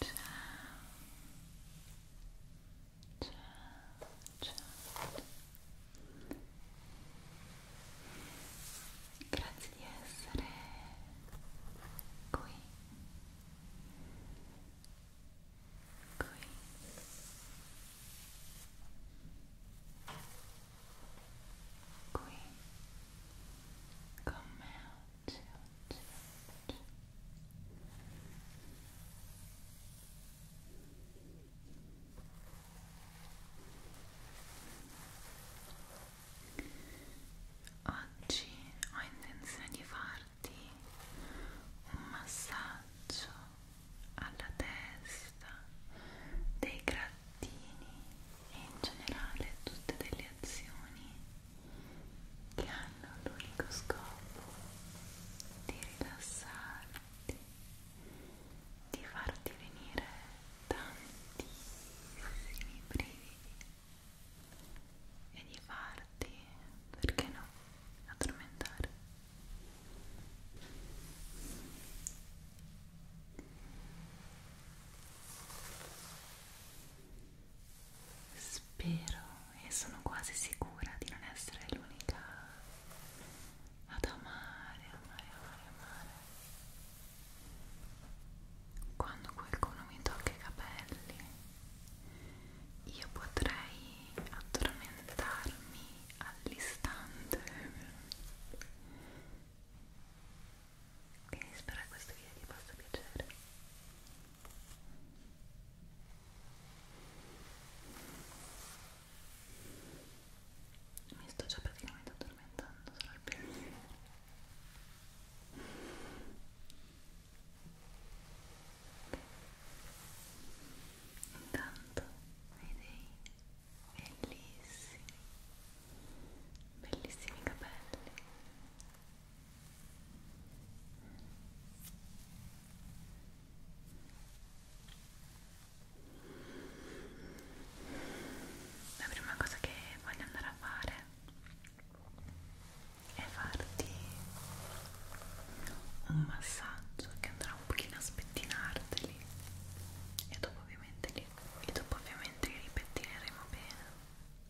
ciao ciao grazie di essere qui qui qui con me oggi, oggi, oggi. Oggi ho intenzione di farti un massaggio alla testa, dei grattini e in generale tutte delle azioni che hanno l'unico scopo di rilassarti, di farti venire tantissimi brividi e di farti, perché no, addormentare. Spero e sono quasi sicura di non essere l'unica ad amare, amare, amare, amare. Quando qualcuno mi tocca i capelli, io potrei addormentarmi all'istante quindi spero che questo video ti possa piacere mi sto già praticamente addormentando solo al pensiero intanto hai dei bellissimi bellissimi capelli la prima cosa che voglio andare a fare è farti un massaggio che andrà un pochino a spettinarteli e dopo ovviamente li, e dopo ovviamente li ripettineremo bene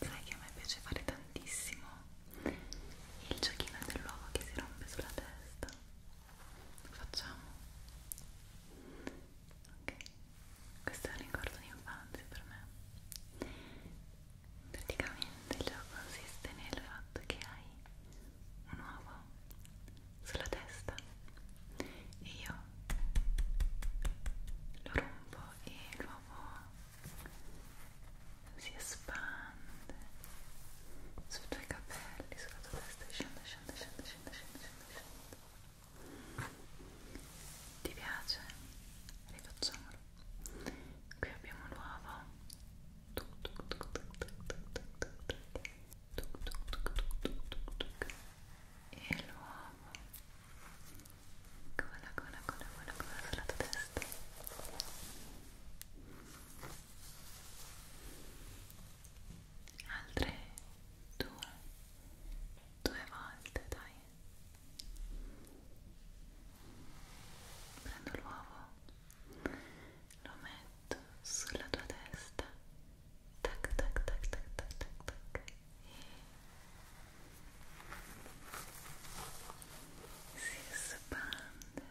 Sai che a me piace fare tantissimo il giochino dell'uovo che si rompe sulla testa. Lo facciamo? Ok, questo è un ricordo di infanzia per me. Praticamente il gioco consiste nel fatto che hai un uovo sulla testa e io lo rompo e l'uovo si espande sui tuoi capelli, sulla tua testa scende, scende, scende, scende, scende, scende, scende. Ti piace? Rifacciamolo qui abbiamo l'uovo e l'uovo cola cola cola cola cola sulla tua testa altre due due volte dai prendo l'uovo lo metto sulla tua testa tac tac tac tac tac tac tac e si espande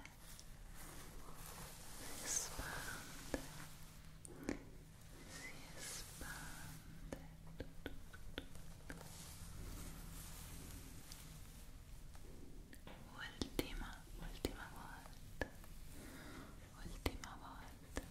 si espande si espande tu, tu, tu, tu. Ultima, última volta, ultima volta.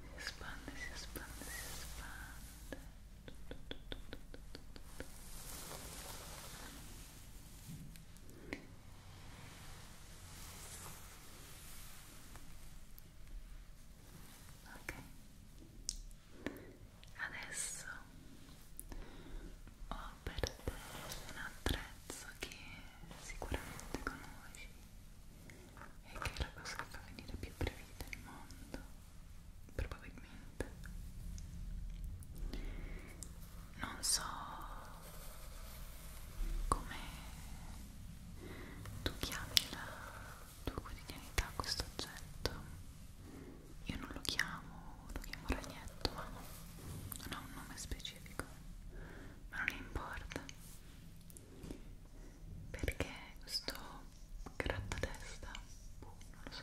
si espande, si espande, si espande ok adesso ho per te un attrezzo che sicuramente conosci e che è la cosa che fa venire più brevità il mondo probabilmente non so come tu chiami la tua quotidianità questo oggetto io non lo chiamo lo chiamo ragnetto ma non ha un nome specifico ma non importa perché sto grattatesta boh, non lo so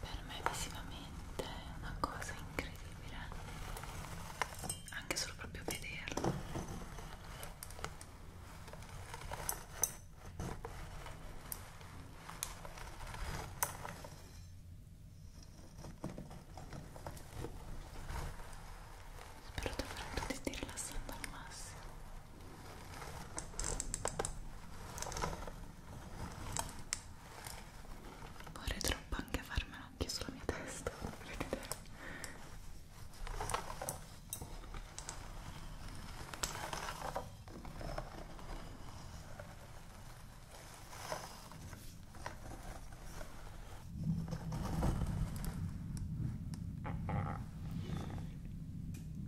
per me visivamente è una cosa incredibile anche solo proprio vederlo spero davvero che ti stia rilassando al massimo Ora Vorrei troppo anche farmela anche sulla mia testa, vedete?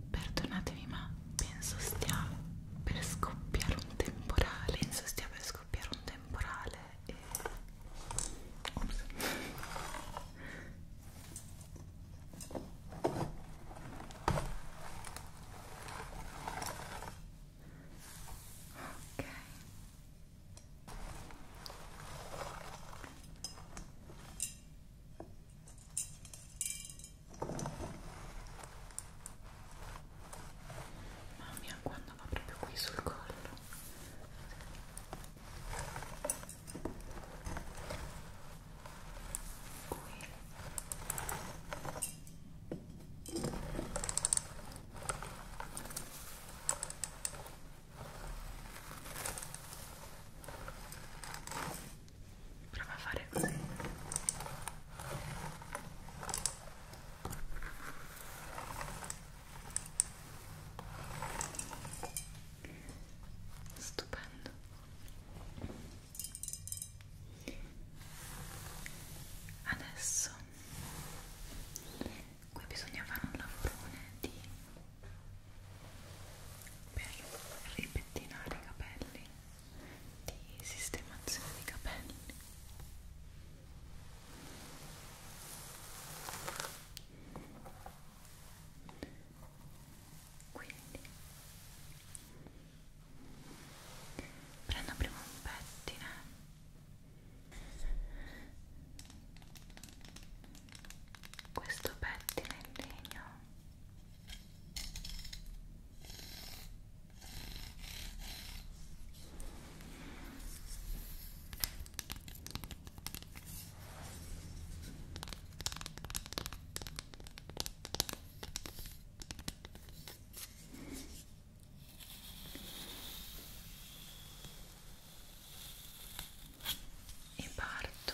Perdonatemi ma penso stia per scoppiare un temporale, penso stia per scoppiare un temporale e... Ops. ok Mamma mia, quando va proprio qui sul collo. Qui. Prova a fare così. Stupendo. Adesso qui bisogna fare un lavorone di per ripettinare i capelli di sistemazione di capelli quindi prendo prima un pettine questo pettine in legno e parto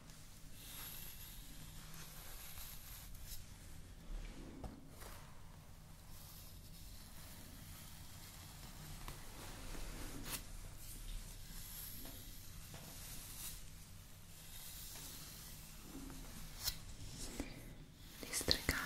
districando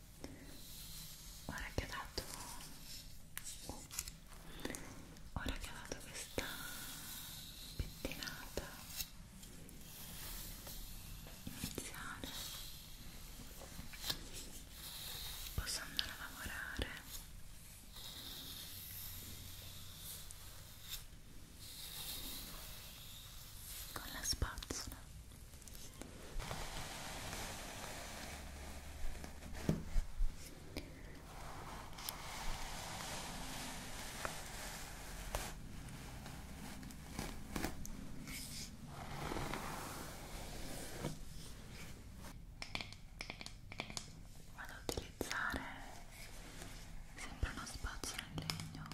ora che ho dato ora che ho dato questa pettinata iniziale posso andare a lavorare con la spazzola Vado ad utilizzare sempre uno spazio in legno.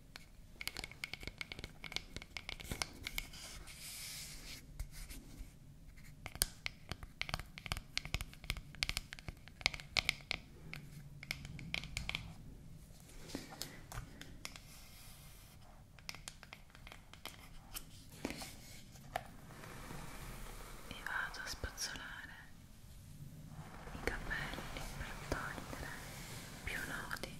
e vado a spazzolare i capelli per togliere più nodi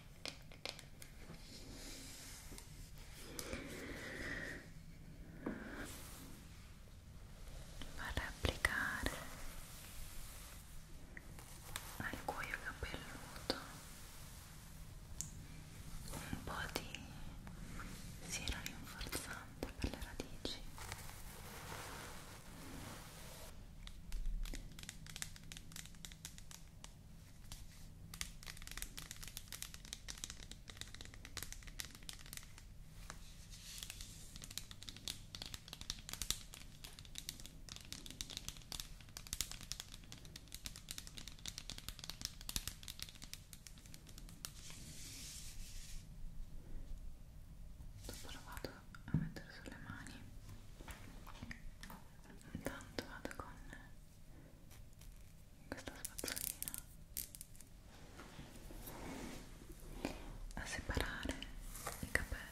vado a applicare al cuoio capelluto un po' di siero rinforzante per le radici e Dopo lo vado a mettere sulle mani intanto vado con questa spazzolina a separare i capelli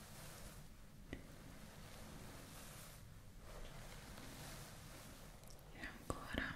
e ancora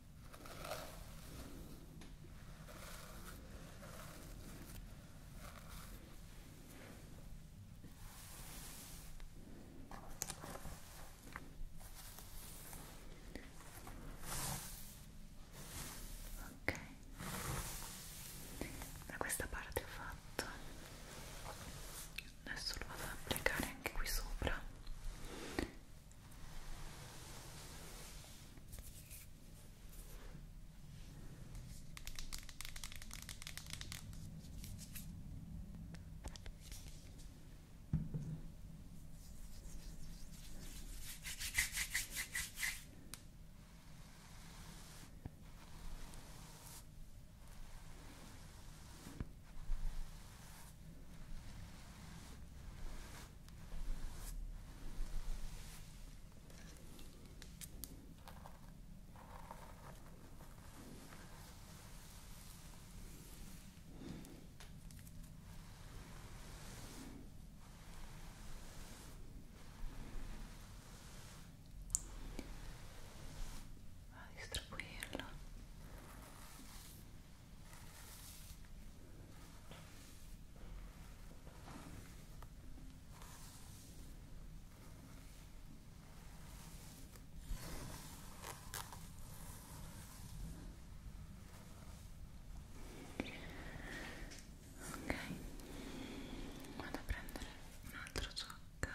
Ok, da questa parte ho fatto adesso lo vado ad applicare anche qui sopra a ah, distribuirlo Ok, vado a prendere un altro zucchero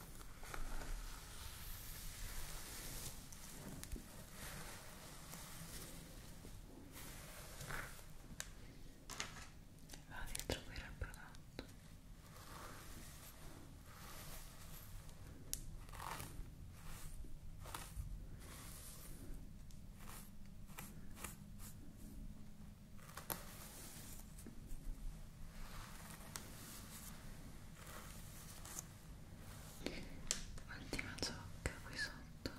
va a distribuire il prodotto Ultima ciocca qui sotto.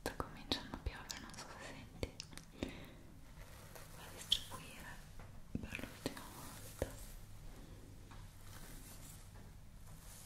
Sta cominciando a piovere, non so se senti. Va a distribuire per l'ultima volta.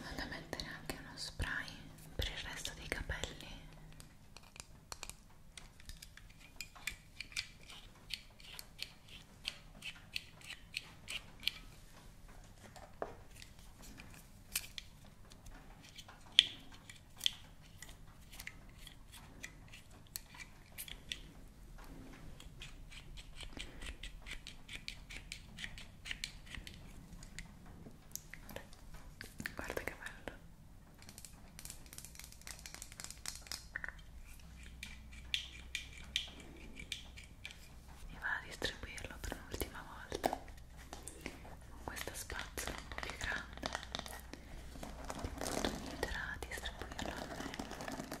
vado a mettere anche uno spray per il resto dei capelli Guarda che bello. E va a distribuirlo per un'ultima volta con questa spazzola un po' più grande. Mi aiuterà a distribuirlo a me.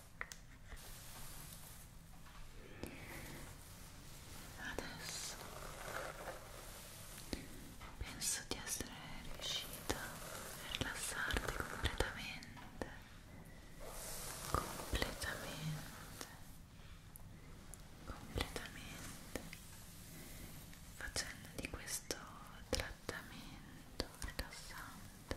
Adesso penso di essere riuscita a rilassarti completamente, completamente, completamente, facendo di questo trattamento rilassante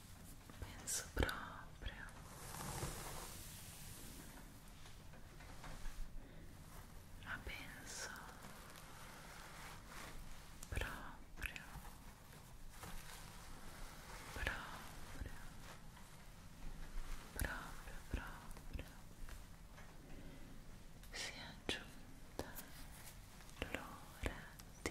penso proprio ma penso proprio proprio proprio proprio, proprio. si è aggiunta l'ora di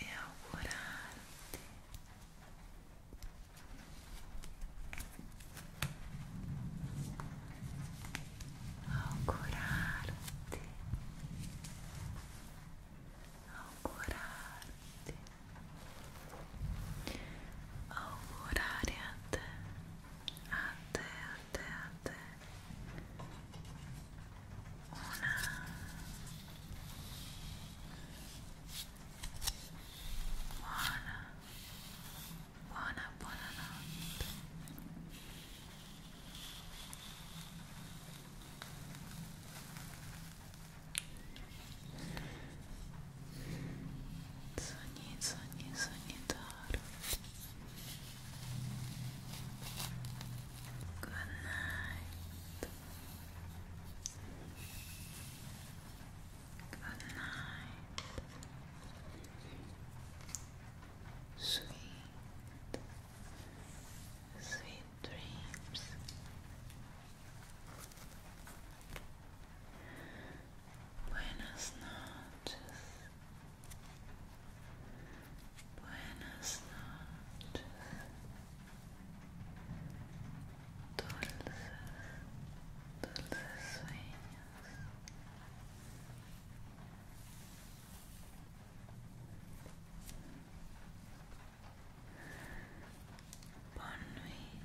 e augurar Augurar-te, augurar-te, augurar-te, a te, a te, a te una buona, buona, buona notte Sogni, sogni, sogni d'oro Good night. Good night. Sweet, sweet dreams. Buenas noches. Buenas noches, dulces, dulces sueños. Bonne nuit.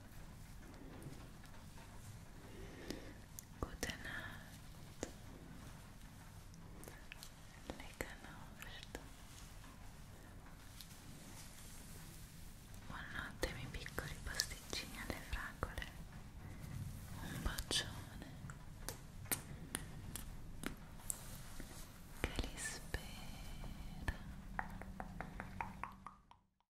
Gute Nacht. Leccanosta. Buonanotte miei piccoli pasticcini alle fragole. Un bacione. Che li spera.